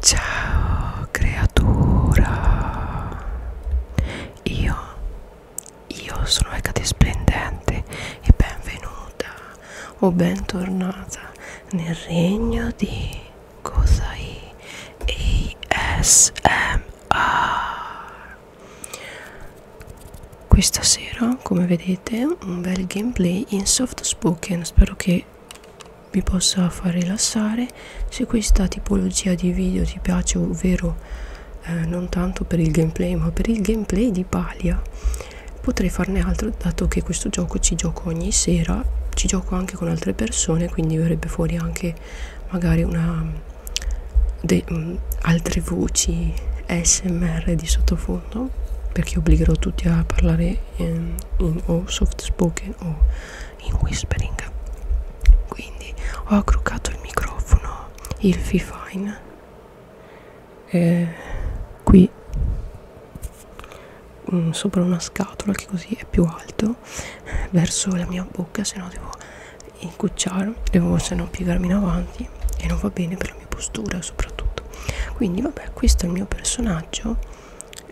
Ciao creatura Io Io sono Ecate Splendente e benvenuta o bentornata nel regno di Gozai ASMR Questa sera come vedete un bel gameplay in soft spoken Spero che vi possa far rilassare se questa tipologia di video ti piace ovvero eh, non tanto per il gameplay ma per il gameplay di Palia potrei farne altro dato che questo gioco ci gioco ogni sera ci gioco anche con altre persone quindi verrebbe fuori anche magari una De, um, altre voci smr di sottofondo perché obbligherò tutti a parlare in, ehm, in, o soft spoken o in whispering quindi ho accroccato il microfono il fifine eh, qui mh, mm, sopra una scatola che così è più alto verso la mia bocca se no devo incucciare devo se no piegarmi in avanti e non va bene per la mia postura soprattutto quindi vabbè questo è il mio personaggio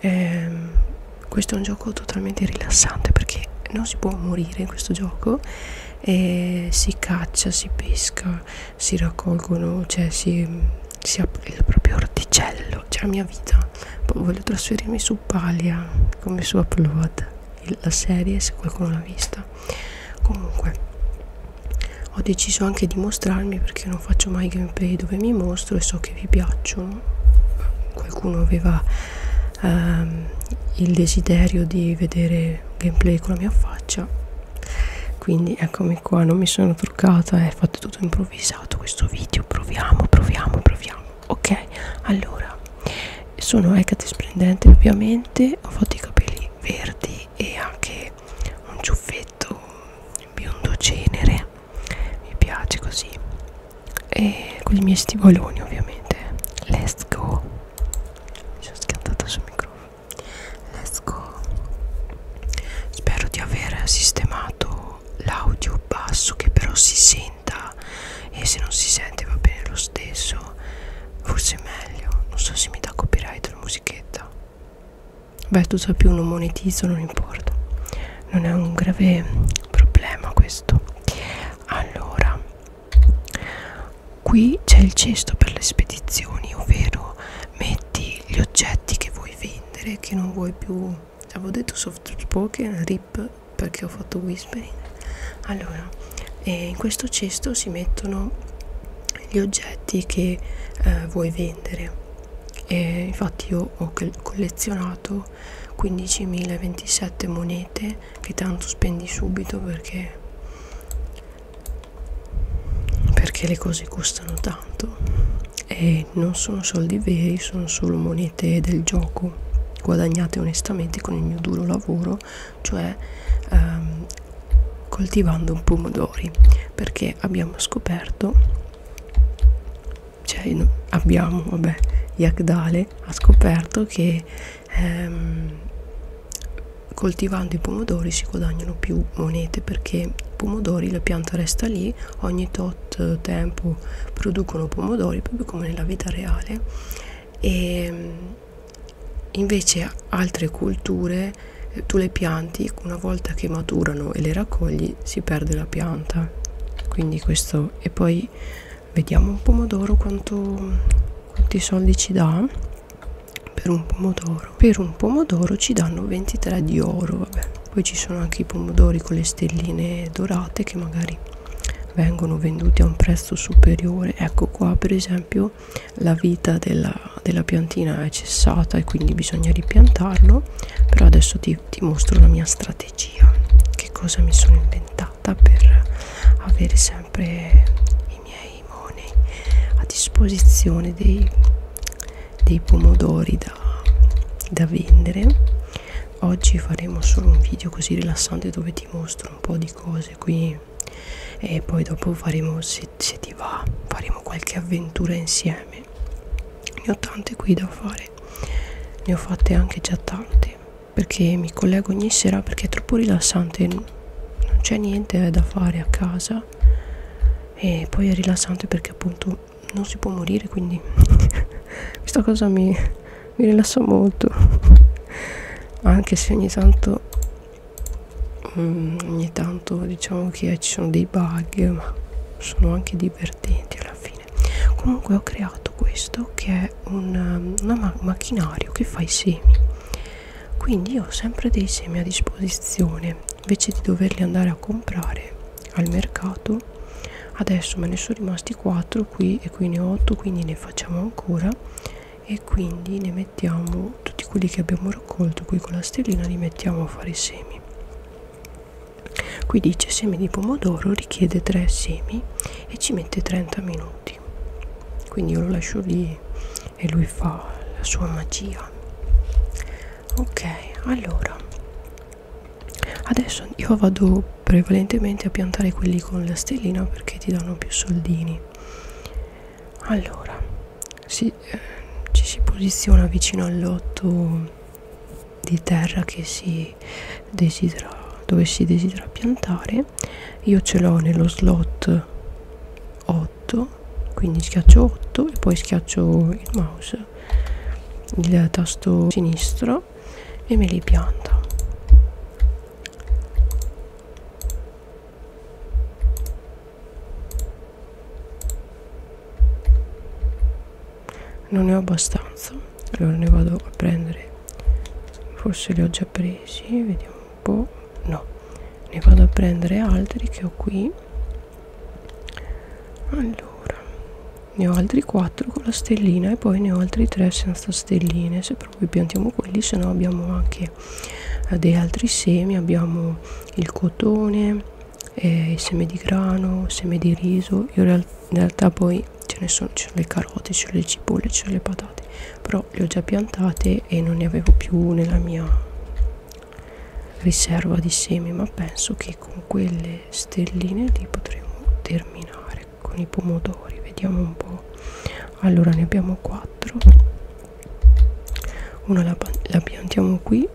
eh, questo è un gioco totalmente rilassante perché non si può morire in questo gioco eh, si caccia si pesca si raccolgono cioè si, si apre il proprio orticello cioè la mia vita voglio trasferirmi su Palia come su Upload la serie se qualcuno l'ha vista comunque ho deciso anche di mostrarmi perché non faccio mai gameplay dove mi mostro e so che vi piacciono qualcuno aveva ehm, il desiderio di vedere gameplay con la mia faccia quindi eccomi qua non mi sono truccata è fatto tutto improvvisato questo video proviamo proviamo proviamo ok allora sono Hecate Splendente ovviamente ho fatto i capelli verdi e anche un ciuffetto biondo cenere mi piace così e con i miei stivoloni ovviamente let's go mi sono schiantata sul microfono let's go spero di aver sistemato l'audio basso che però si senta e se non si sente va bene lo stesso forse è meglio non so se mi dà copyright la musichetta Beh, tu sai più, non monetizzo, non importa. Non è un grave problema questo. Allora, qui c'è il cesto per le spedizioni, ovvero metti gli oggetti che vuoi vendere, che non vuoi più... Avevo detto soft spoken, rip, perché ho fatto whispering. Allora, eh, in questo cesto si mettono gli oggetti che eh, vuoi vendere e infatti io ho collezionato 15.027 monete che tanto spendi subito perché perché le cose costano tanto e non sono soldi veri sono solo monete del gioco guadagnate onestamente con il mio duro lavoro cioè ehm, coltivando pomodori perché abbiamo scoperto cioè no, abbiamo vabbè Yagdale ha scoperto che ehm, coltivando i pomodori si guadagnano più monete perché i pomodori la pianta resta lì ogni tot eh, tempo producono pomodori proprio come nella vita reale e ehm, invece altre culture eh, tu le pianti una volta che maturano e le raccogli si perde la pianta quindi questo e poi vediamo un pomodoro quanto quanti soldi ci dà per un pomodoro per un pomodoro ci danno 23 di oro vabbè poi ci sono anche i pomodori con le stelline dorate che magari vengono venduti a un prezzo superiore ecco qua per esempio la vita della, della piantina è eh, cessata e quindi bisogna ripiantarlo però adesso ti, ti mostro la mia strategia che cosa mi sono inventata per avere sempre i miei money a disposizione dei, dei pomodori da, da vendere oggi faremo solo un video così rilassante dove ti mostro un po' di cose qui e poi dopo faremo se, se ti va faremo qualche avventura insieme ne ho tante qui da fare ne ho fatte anche già tante perché mi collego ogni sera perché è troppo rilassante non c'è niente eh, da fare a casa e poi è rilassante perché appunto non si può morire quindi questa cosa mi, mi rilassa molto anche se ogni tanto mm, ogni tanto diciamo sono che ci sono dei bug ma sono anche divertenti alla fine comunque ho creato questo che è un um, ma macchinario che fa i semi quindi ho sempre dei semi a disposizione invece di doverli andare a comprare al mercato adesso me ne sono rimasti 4 qui e qui ne ho 8 quindi ne facciamo ancora e quindi ne mettiamo tutti quelli che abbiamo raccolto qui con la stellina li mettiamo a fare i semi qui dice semi di pomodoro richiede 3 semi e ci mette 30 minuti quindi io lo lascio lì e lui fa la sua magia ok allora adesso io vado prevalentemente a piantare quelli con la stellina perché ti danno più soldini allora si, eh, ci si posiziona vicino al lotto di terra che si desidera dove si desidera piantare io ce l'ho nello slot 8 quindi schiaccio 8 e poi schiaccio il mouse il tasto sinistro e me li pianta non ne ho abbastanza allora ne vado a prendere forse li ho già presi vediamo un po' no ne vado a prendere altri che ho qui allora ne ho altri 4 con la stellina e poi ne ho altri 3 senza stelline se proprio piantiamo quelli se no abbiamo anche eh, dei altri semi abbiamo il cotone eh, i semi di grano, semi di riso, io real in realtà poi ce ne sono, c'è le carote, c'è le cipolle, c'è le patate, però le ho già piantate e non ne avevo più nella mia riserva di semi, ma penso che con quelle stelline lì potremo terminare con i pomodori, vediamo un po'. Allora ne abbiamo 4. Una la, la piantiamo qui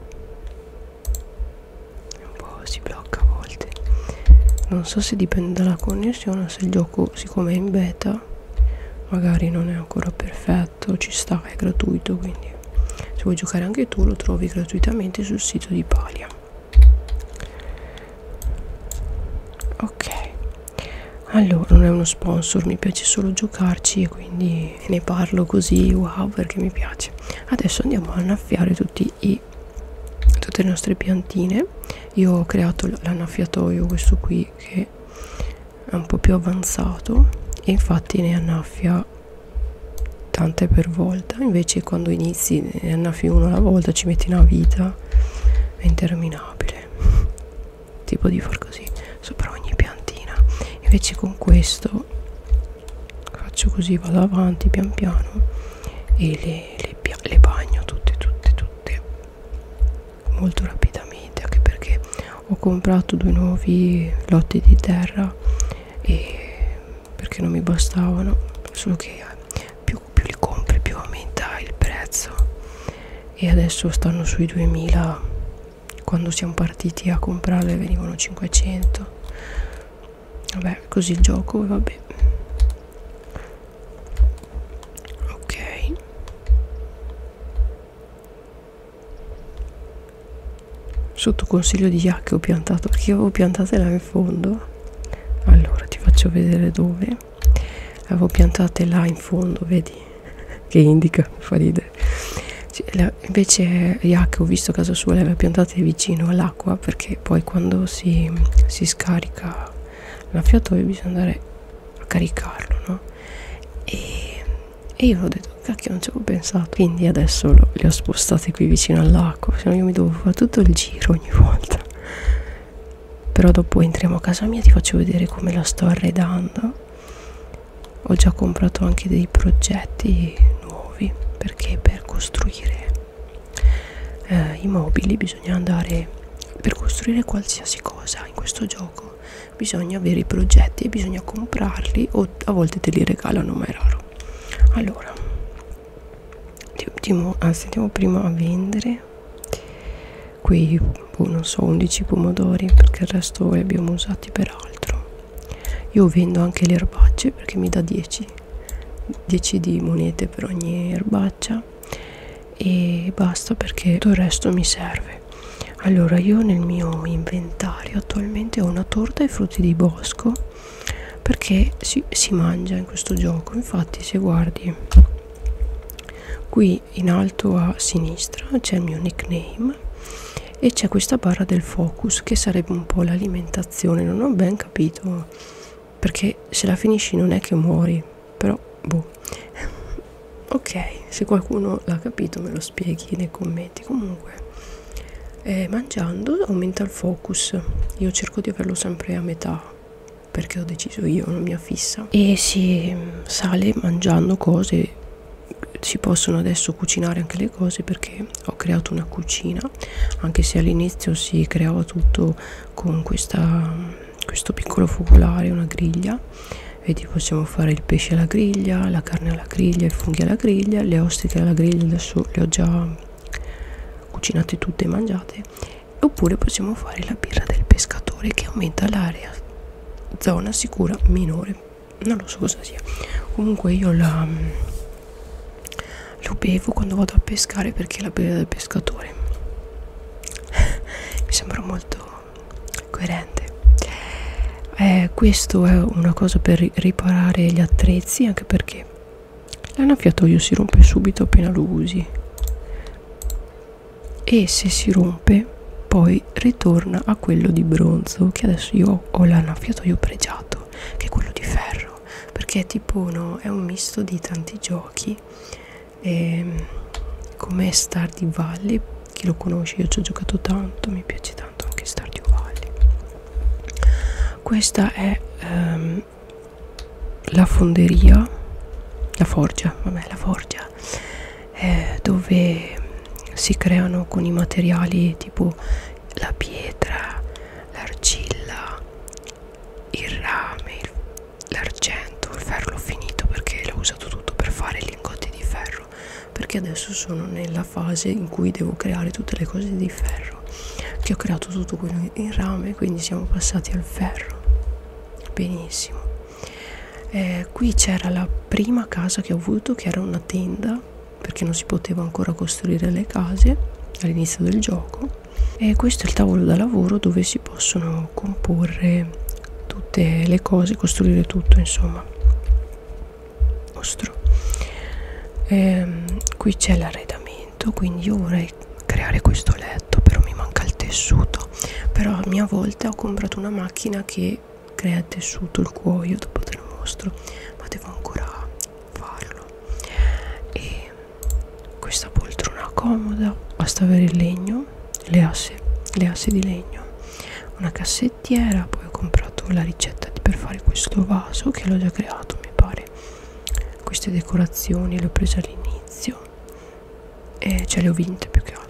un po' si blocca a volte non so se dipende dalla connessione se il gioco siccome è in beta magari non è ancora perfetto ci sta è gratuito quindi se vuoi giocare anche tu lo trovi gratuitamente sul sito di Palia ok allora non è uno sponsor mi piace solo giocarci e quindi ne, ne parlo così wow perché mi piace adesso andiamo a annaffiare tutti i tutte le nostre piantine io ho creato l'annaffiatoio questo qui che è un po più avanzato e infatti ne annaffia tante per volta invece quando inizi ne annaffi uno alla volta ci metti una vita interminabile tipo di far così sopra ogni piantina invece con questo faccio così vado avanti pian piano e le, le, le bagno tutte tutte tutte molto rapidamente anche perché ho comprato due nuovi lotti di terra e perché non mi bastavano solo che eh, più, più li compri più aumenta il prezzo e adesso stanno sui 2000 quando siamo partiti a comprarle venivano 500 vabbè così il gioco e vabbè ok sotto consiglio di Jack ho piantato perché avevo piantate là in fondo allora ti faccio vedere dove avevo piantate là in fondo vedi che indica, fa ridere. Cioè, la, invece Yak ho visto casa sua le aveva piantate vicino all'acqua perché poi quando si, si scarica l'affiatoio bisogna andare a caricarlo, no? E, e io ho detto, cacchio non ci avevo pensato, quindi adesso lo, le ho spostate qui vicino all'acqua, se cioè, no io mi devo fare tutto il giro ogni volta. Però dopo entriamo a casa mia, ti faccio vedere come la sto arredando ho già comprato anche dei progetti nuovi perché per costruire eh, i mobili bisogna andare per costruire qualsiasi cosa in questo gioco bisogna avere i progetti e bisogna comprarli o a volte te li regalano ma è raro allora andiamo ah, prima a vendere qui boh, non so 11 pomodori perché il resto li abbiamo usati per altro io vendo anche le erbacce perché mi dà 10 10 di monete per ogni erbaccia e basta perché tutto il resto mi serve allora io nel mio inventario attualmente ho una torta ai frutti di bosco perché si, si mangia in questo gioco infatti se guardi qui in alto a sinistra c'è il mio nickname film e c'è questa barra del focus che sarebbe un po' l'alimentazione non ho ben capito perché se la finisci non è che muori però boh ok se qualcuno l'ha capito me lo spieghi nei commenti comunque eh, mangiando aumenta il focus io cerco di averlo sempre a metà perché ho deciso io, una mia fissa. E si sale mangiando cose si possono adesso cucinare anche le cose perché ho creato una cucina anche se all'inizio si creava tutto con questa, questo piccolo focolare una griglia vedi possiamo fare il pesce alla griglia la carne alla griglia i funghi alla griglia le ostriche alla griglia adesso le ho già cucinate tutte e mangiate oppure possiamo fare la birra del pescatore che aumenta l'area zona sicura minore non lo so cosa sia comunque io la mm, lo bevo quando vado a pescare perché è la bevanda del pescatore mi sembra molto coerente eh, questo è una cosa per riparare gli attrezzi anche perché l'annaffiatoio si rompe subito appena lo usi e se si rompe poi ritorna a quello di bronzo che adesso io ho l'annaffiato io pregiato che è quello di ferro perché è tipo no, è un misto di tanti giochi ehm, come Stardew Valley chi lo conosce io ci ho giocato tanto mi piace tanto anche Stardew Valley questa è um, la fonderia la forgia vabbè la forgia storia eh, dove si creano con i materiali tipo la pietra, l'argilla, il rame, l'argento, il ferro l'ho finito perché l'ho usato tutto per fare lingotti di ferro perché adesso sono nella fase in cui devo creare tutte le cose di ferro che ho creato tutto quello in rame quindi siamo passati al ferro benissimo eh, qui c'era la prima casa che ho avuto che era una tenda perché non si poteva ancora costruire le case all'inizio del gioco e questo è il tavolo da lavoro dove si possono comporre tutte le cose costruire tutto insomma nostro e, ehm, qui c'è l'arredamento quindi io vorrei creare questo letto però mi manca il tessuto però a mia volta ho comprato una macchina che poi crea tessuto il cuoio dopo te lo mostro ma devo ancora farlo e questa poltrona comoda basta avere il legno le asse, le asse di legno una cassettiera poi ho comprato la ricetta per fare questo vaso che l'ho già creato mi pare queste decorazioni le ho prese all'inizio e ce le ho vinte più che altro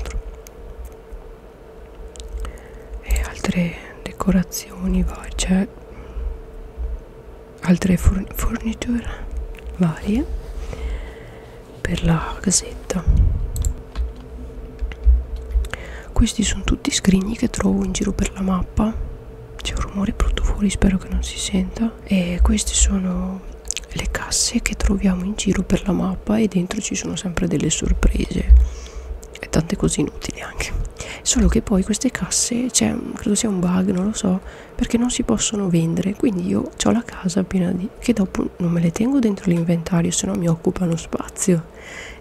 e altre decorazioni varie cioè altre forniture varie per la casetta questi sono tutti scrigni che trovo in giro per la mappa c'è un rumore brutto fuori spero che non si senta e queste sono le casse che troviamo in giro per la mappa mappa e dentro ci sono sempre delle sorprese e tante cose inutili anche solo che poi queste casse c'è cioè, credo sia un bug non lo so perché non si possono vendere quindi io ho la casa piena di che dopo non me le tengo dentro l'inventario se no mi occupano spazio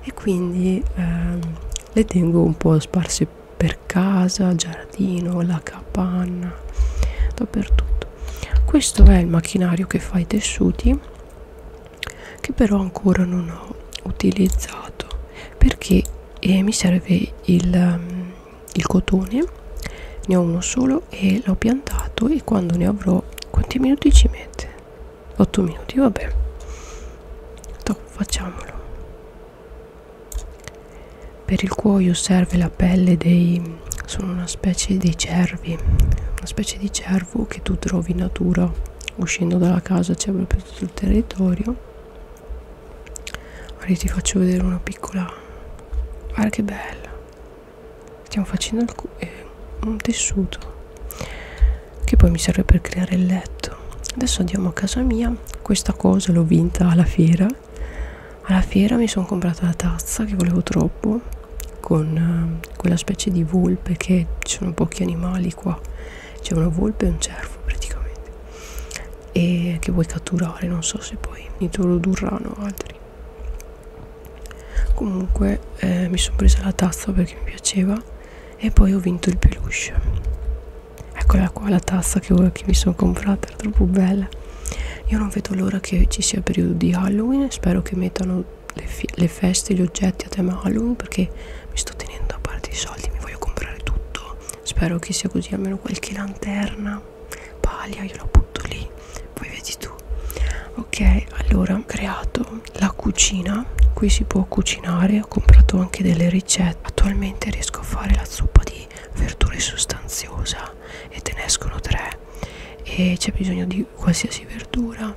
e quindi ehm, le tengo un po' sparse per casa giardino la capanna dappertutto questo è il macchinario che fa i tessuti che però ancora non ho utilizzato perché eh, mi serve il, mm, il cotone ne ho uno solo e l'ho piantato e quando ne avrò quanti minuti ci mette 8 minuti vabbè Top, facciamolo per il cuoio serve la pelle dei sono una specie di cervi una specie di cervo che tu trovi in natura uscendo dalla casa c'è cioè proprio tutto il territorio ora ti faccio vedere una piccola guarda che bella stiamo facendo eh, un tessuto che poi mi serve per creare il letto adesso andiamo a casa mia questa cosa l'ho vinta alla fiera alla fiera mi sono comprata la tazza che volevo troppo con eh, quella specie di volpe che ci sono pochi animali qua c'è una volpe e un cervo praticamente e che vuoi catturare non so se poi introdurranno altri comunque eh, mi sono presa la tazza perché mi piaceva e poi ho vinto il peluche eccola qua la tazza che, che mi sono comprata era troppo bella io non vedo l'ora che ci sia periodo di Halloween spero che mettano le, le feste, gli oggetti a tema Halloween perché mi sto tenendo a parte i soldi, mi voglio comprare tutto. Spero che sia così, almeno qualche lanterna, paglia, io la butto lì, poi vedi tu. Ok, allora ho creato la cucina, qui si può cucinare, ho comprato anche delle ricette. Attualmente riesco a fare la zuppa di verdure sostanziosa e te ne escono tre e c'è bisogno di di qualsiasi verdura,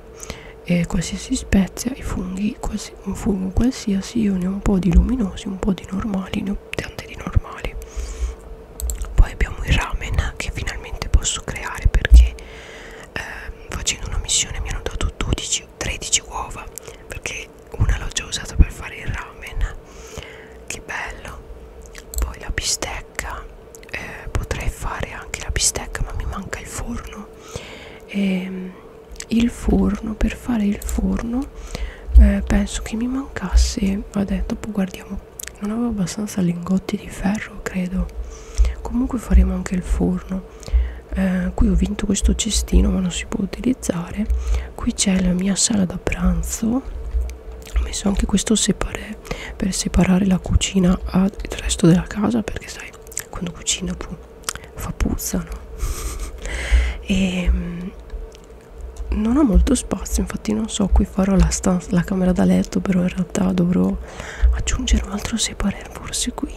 eh, qualsiasi spezia, i funghi, quals un fungo qualsiasi, io ne ho un po' di luminosi, un po' di normali, ne ho tante di normali. Poi abbiamo il ramen che finalmente posso creare perché eh, facendo una missione mi hanno dato 12, 13 uova perché una l'ho già usata per fare il ramen. Che bello! Poi la bistecca bistecca eh, potrei fare anche la bistecca ma mi manca il forno e, ehm, il forno per fare il forno eh, penso che mi mancasse vabbè dopo guardiamo non avevo abbastanza lingotti di ferro credo comunque faremo anche il forno eh, qui ho vinto questo cestino ma non si può utilizzare qui c'è la mia sala da pranzo ho messo anche questo separé per separare la cucina dal resto della casa perché sai quando cucina pu boh, fa puzza no? e ehm, non ho molto spazio infatti non so qui farò la, stanza, la camera da letto però in realtà dovrò aggiungere un altro separé forse qui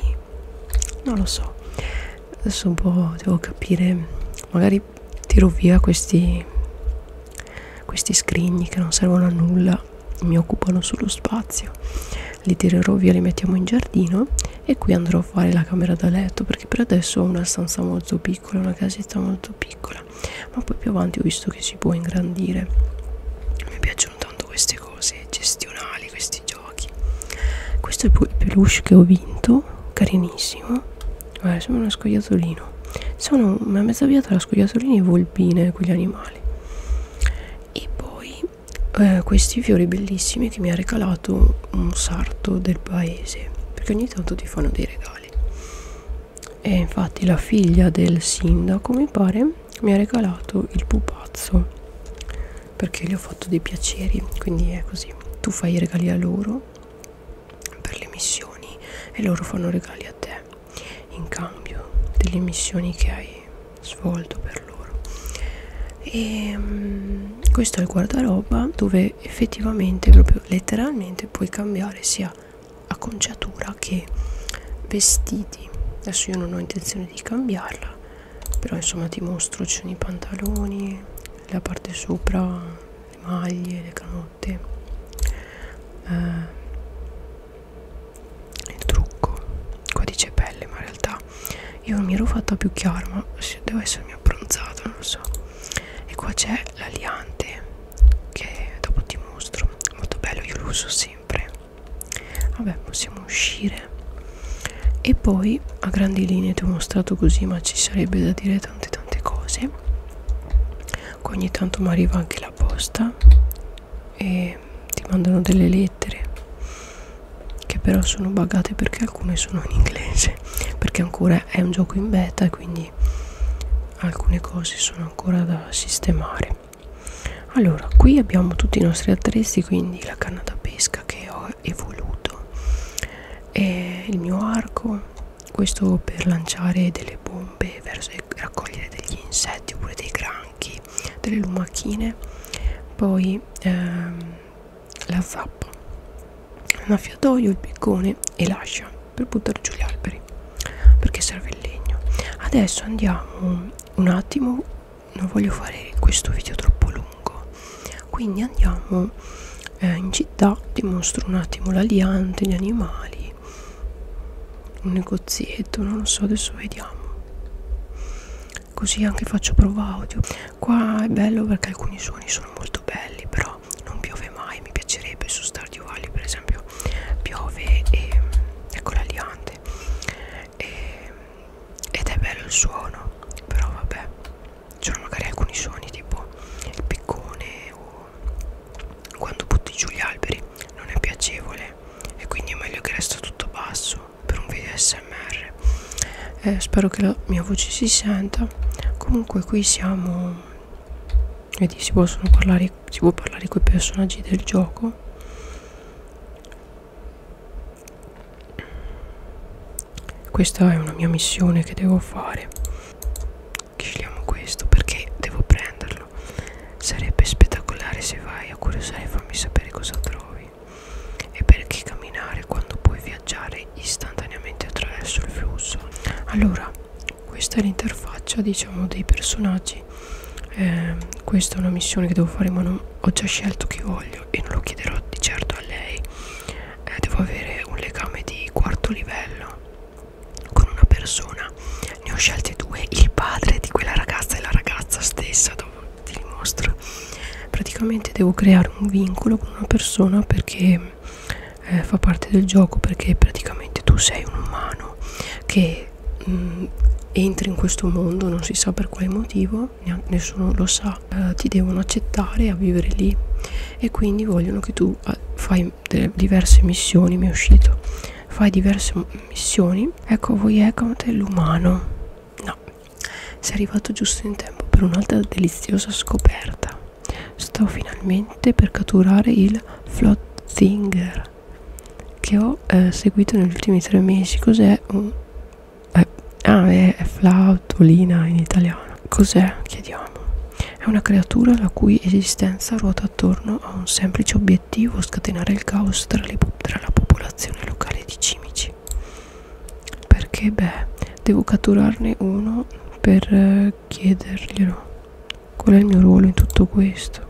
non lo so adesso un po' devo capire magari tiro via questi questi scrigni che non servono a nulla mi occupano solo spazio li tirerò via li mettiamo in giardino e qui andrò a fare la camera da letto perché per adesso ho una stanza molto piccola una casetta molto piccola ma poi più avanti ho visto che si può ingrandire mi piacciono tanto queste cose gestionali questi giochi questo è il peluche che ho vinto carinissimo guarda sembra uno scoiattolino sono a mezza via tra scoiattolini e alpine quegli animali e poi eh, questi fiori bellissimi che mi ha regalato un sarto del paese perché ogni tanto ti fanno dei regali e infatti la figlia del sindaco mi pare mi ha regalato il pupazzo perché gli ho fatto dei piaceri quindi è così tu fai i regali a loro per le missioni e loro fanno regali a te in cambio delle missioni che hai svolto per loro e um, questo è il guardaroba dove effettivamente proprio letteralmente puoi cambiare sia acconciatura che vestiti adesso io non ho intenzione di cambiarla però insomma ti mostro ci sono i pantaloni la parte sopra le maglie le minuti eh, il trucco qua dice pelle ma in realtà io mi ero fatta più chiaro ma devo essermi abbronzata non lo so e qua c'è l'aliante che dopo ti mostro molto bello io lo uso sempre vabbè possiamo uscire e poi a grandi linee ti ho mostrato così ma ci sarebbe da dire tante tante cose ogni tanto mi arriva anche la posta e ti mandano delle lettere che però sono bugate perché alcune sono in inglese perché ancora è un gioco in beta quindi alcune cose sono ancora da sistemare allora qui abbiamo tutti i nostri attrezzi quindi la canna da pesca che ho evoluto e il mio arco questo per lanciare delle bombe pompe verso raccogliere degli insetti oppure dei granchi delle lumachine poi ehm, la zappa l'annaffiatoio, il piccone e l'ascia per buttare giù gli alberi perché serve il legno adesso andiamo un attimo non voglio fare questo video troppo lungo quindi andiamo eh, in città ti mostro un attimo la liante, gli animali un negozietto non lo so adesso vediamo così anche faccio prova audio qua è bello perché alcuni suoni sono molto belli però non piove mai mi piacerebbe su Stardew Valley per esempio piove e ecco la liante e, ed è bello il suono però vabbè c'erano magari alcuni suoni tipo il piccone o quando butti giù gli alberi non è piacevole e quindi è meglio che resta tutto basso per un video smr eh, spero che la mia voce si senta comunque qui siamo vedi si possono parlare si può parlare con i personaggi del gioco questa è una mia missione che devo fare scegliamo questo perché devo prenderlo sarebbe spettacolare se vai a curiosare fammi sapere cosa trovi e perché camminare quando puoi viaggiare istantaneamente attraverso il flusso allora questa è l'interfaccia diciamo dei personaggi eh, questa è una missione che devo fare ma non, ho già scelto chi voglio e non lo chiederò di certo a lei eh, devo avere un legame di quarto livello con una persona ne ho scelte due il padre di quella ragazza e la ragazza stessa dopo ti dimostro praticamente devo creare un vincolo con una persona perché eh, fa parte del gioco perché praticamente tu sei un umano che mh, mm, entri in questo mondo non si sa per quale motivo nessuno lo sa eh, ti devono accettare a vivere lì e quindi vogliono che tu eh, fai delle diverse missioni mi è uscito fai diverse missioni ecco voi account l'umano no sei arrivato giusto in tempo per un'altra deliziosa scoperta sto finalmente per catturare il Flotzinger che ho eh, seguito negli ultimi tre mesi cos'è un eh, ah è, è flautolina in italiano cos'è chiediamo è una creatura la cui esistenza ruota attorno a un semplice obiettivo, scatenare il caos tra, le, tra la popolazione locale di cimici. Perché beh, devo catturarne uno per eh, chiederglielo. Qual è il mio ruolo in tutto questo?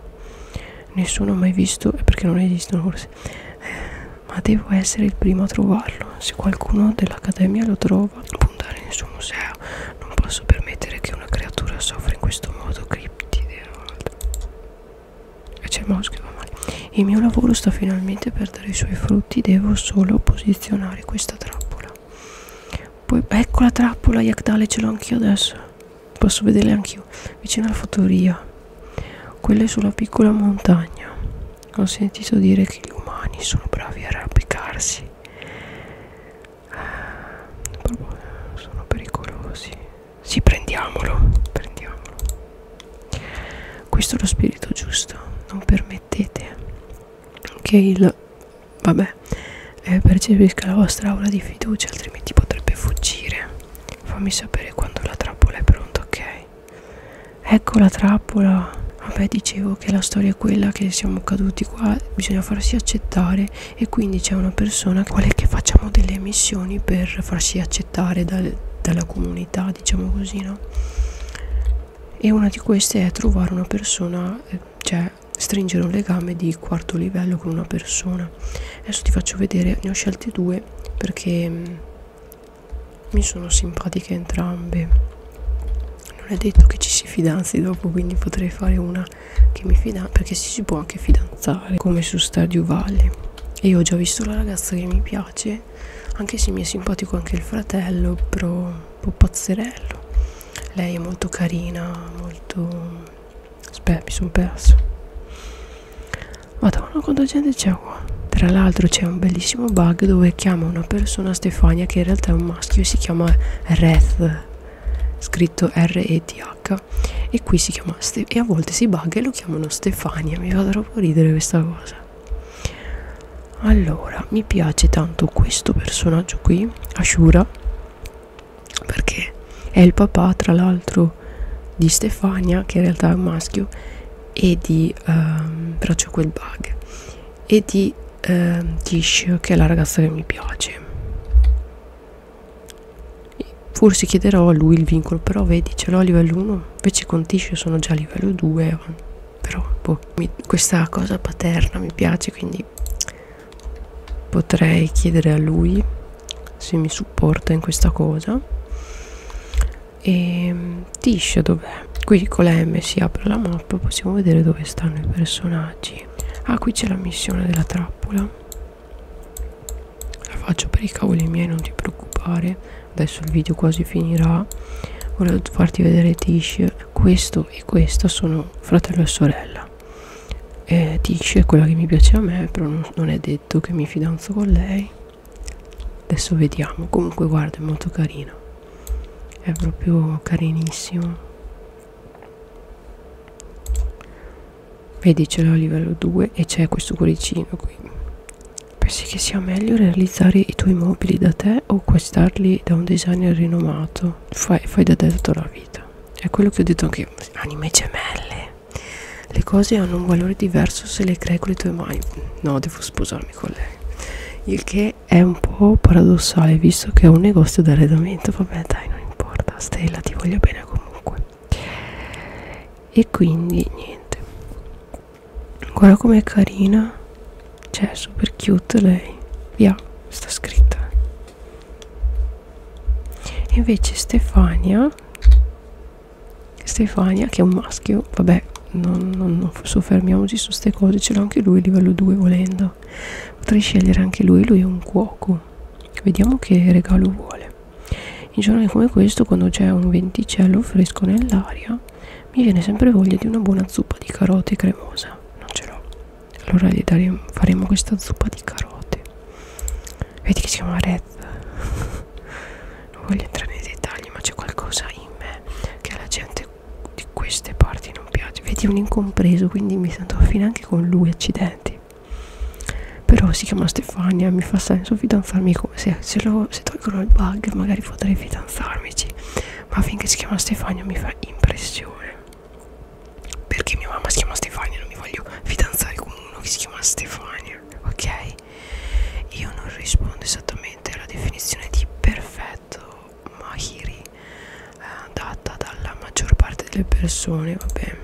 Nessuno ha mai visto, è eh, perché non esistono forse. Eh, ma devo essere il primo a trovarlo. Se qualcuno dell'Accademia lo trova, puntare nel suo museo non posso permettere che una creatura soffra in questo modo, criptide. E c'è il moschio, va male. Il mio lavoro sta finalmente per dare i suoi frutti, devo solo posizionare questa trappola. Poi, ecco la trappola, Yakdale, ce l'ho anch'io adesso. Posso vederle anch'io, vicino alla fattoria. Quella è sulla piccola montagna. Ho sentito dire che gli umani sono bravi a arrampicarsi sono pericolosi sì prendiamolo prendiamolo questo è lo spirito giusto non permettete che il vabbè eh, percepisca la vostra aura di fiducia altrimenti potrebbe fuggire fammi sapere quando la trappola è pronta ok ecco la trappola vabbè dicevo che la storia è quella che siamo caduti qua bisogna farsi accettare e quindi c'è una persona quale che facciamo delle missioni per farsi accettare dal, dalla comunità diciamo così no e una di queste è trovare una persona eh, cioè stringere un legame di quarto livello con una persona adesso ti faccio vedere ne ho scelte due perché mm, mi sono simpatiche entrambe non è detto che ci si fidanzi dopo quindi potrei fare una che mi fidanza perché si può anche fidanzare come su Stadio Valley e io ho già visto la ragazza che mi piace anche se mi è simpatico anche il fratello però un po' pazzerello lei è molto carina molto aspetta mi sono perso madonna quanta gente c'è qua tra l'altro c'è un bellissimo bug dove chiama una persona Stefania che in realtà è un maschio e si chiama Reth scritto R-E-T-H e qui si chiama Ste e a volte si bugga e lo chiamano Stefania mi fa troppo ridere questa cosa allora mi piace tanto questo personaggio qui Ashura perché è il papà tra l'altro di Stefania che in realtà è un maschio e di um, Braccio quel bug e di eh, Tishio che è la ragazza che mi piace forse chiederò a lui il vincolo però vedi ce l'ho a livello 1 invece con Tishio sono già a livello 2 però boh, mi, questa cosa paterna mi piace quindi potrei chiedere a lui se mi supporta in questa cosa e ehm, Tish dov'è? qui con la M si apre la mappa possiamo vedere dove stanno i personaggi sì ah qui c'è la missione della trappola la faccio per i cavoli miei non ti preoccupare adesso il video quasi finirà volevo farti vedere Tish questo e questa sono fratello e sorella e eh, Tish è quella che mi piace a me però non è detto che mi fidanzo con lei adesso vediamo comunque guarda è molto carina è proprio carinissimo vedi ce l'ho a livello 2 e c'è questo cuoricino qui pensi che sia meglio realizzare i tuoi mobili da te o acquistarli da un designer rinomato fai, fai da te tutta la vita è quello che ho detto anche io anime gemelle le cose hanno un valore diverso se le crei con le tue mani no devo sposarmi con lei il che è un po' paradossale visto che è un negozio d'arredamento vabbè dai non importa Stella ti voglio bene comunque e quindi niente guarda com'è carina cioè super cute lei via sta scritta invece Stefania Stefania che è un maschio vabbè non, non, non soffermiamoci su queste cose ce l'ha anche lui livello 2 volendo penso potrei scegliere anche lui lui è un cuoco vediamo che regalo vuole in giorni come questo quando c'è un venticello fresco nell'aria mi viene sempre voglia di una buona zuppa di carote cremosa non ce l'ho allora gli daremo, faremo questa zuppa di carote vedi che si chiama red non voglio entrare nei dettagli ma c'è qualcosa in me che alla gente di queste parti non piace vedi un incompreso quindi mi sento affine anche con lui accidenti però si chiama Stefania mi fa senso fidanzarmi con se, se, lo, se tolgono il bug magari potrei fidanzarmici ma finché si chiama Stefania mi fa impressione perché mia mamma si chiama Stefania non mi voglio fidanzare con uno che si chiama Stefania ok io non rispondo esattamente alla definizione di perfetto dialetto mahiri eh, data dalla maggior parte delle persone vabbè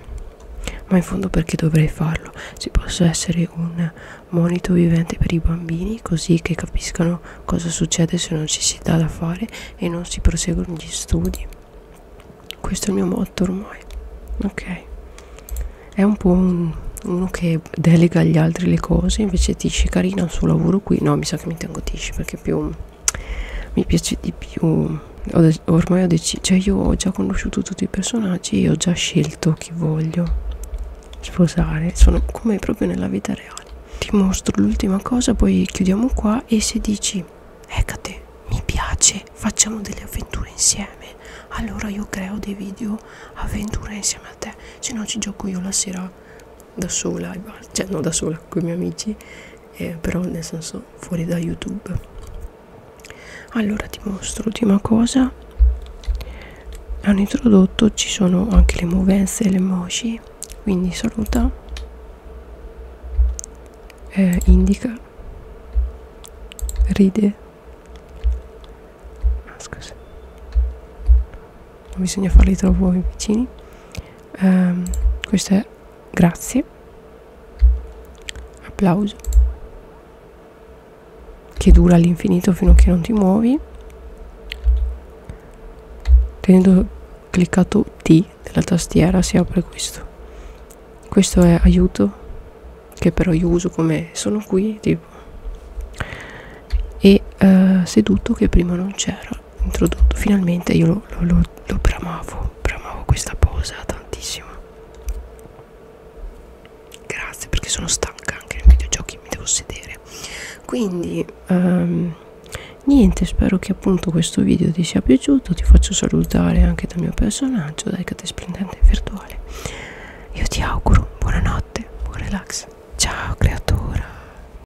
ma in fondo perché dovrei farlo si possa essere un monito vivente per i bambini così che capiscano cosa succede se non ci si dà da fare e non si proseguono gli studi questo è il mio motto ormai ok è un po' un, uno che delega agli altri le cose invece dice carina il suo lavoro qui no mi sa che mi tengo tici perché è più mi piace di più ho ormai ho deciso cioè io ho già conosciuto tutti i personaggi e ho già scelto chi voglio sposare sono come proprio nella vita reale ti mostro l'ultima cosa poi chiudiamo qua e se dici Ecate ecco mi piace facciamo delle avventure insieme allora io creo dei video avventure insieme a te se no ci gioco io la sera da sola, cioè non da sola con i miei amici, eh, però nel senso fuori da YouTube. Allora ti mostro l'ultima cosa. Hanno introdotto, ci sono anche le movenze e le emoji, quindi saluta, eh, indica, ride. Ah, scusa non bisogna farli troppo vicini um, questo è grazie applauso che dura all'infinito fino a che non ti muovi tenendo cliccato T della tastiera si apre questo questo è aiuto che però io uso come sono qui tipo e uh, seduto che prima non c'era introdotto finalmente io lo, lo, lo, lo bramavo bramavo questa posa tantissimo grazie perché sono stanca anche nei videogiochi mi devo sedere quindi um, niente spero che appunto questo video ti sia piaciuto ti faccio salutare anche dal mio personaggio dai cate splendente virtuale io ti auguro buonanotte buon relax ciao creatura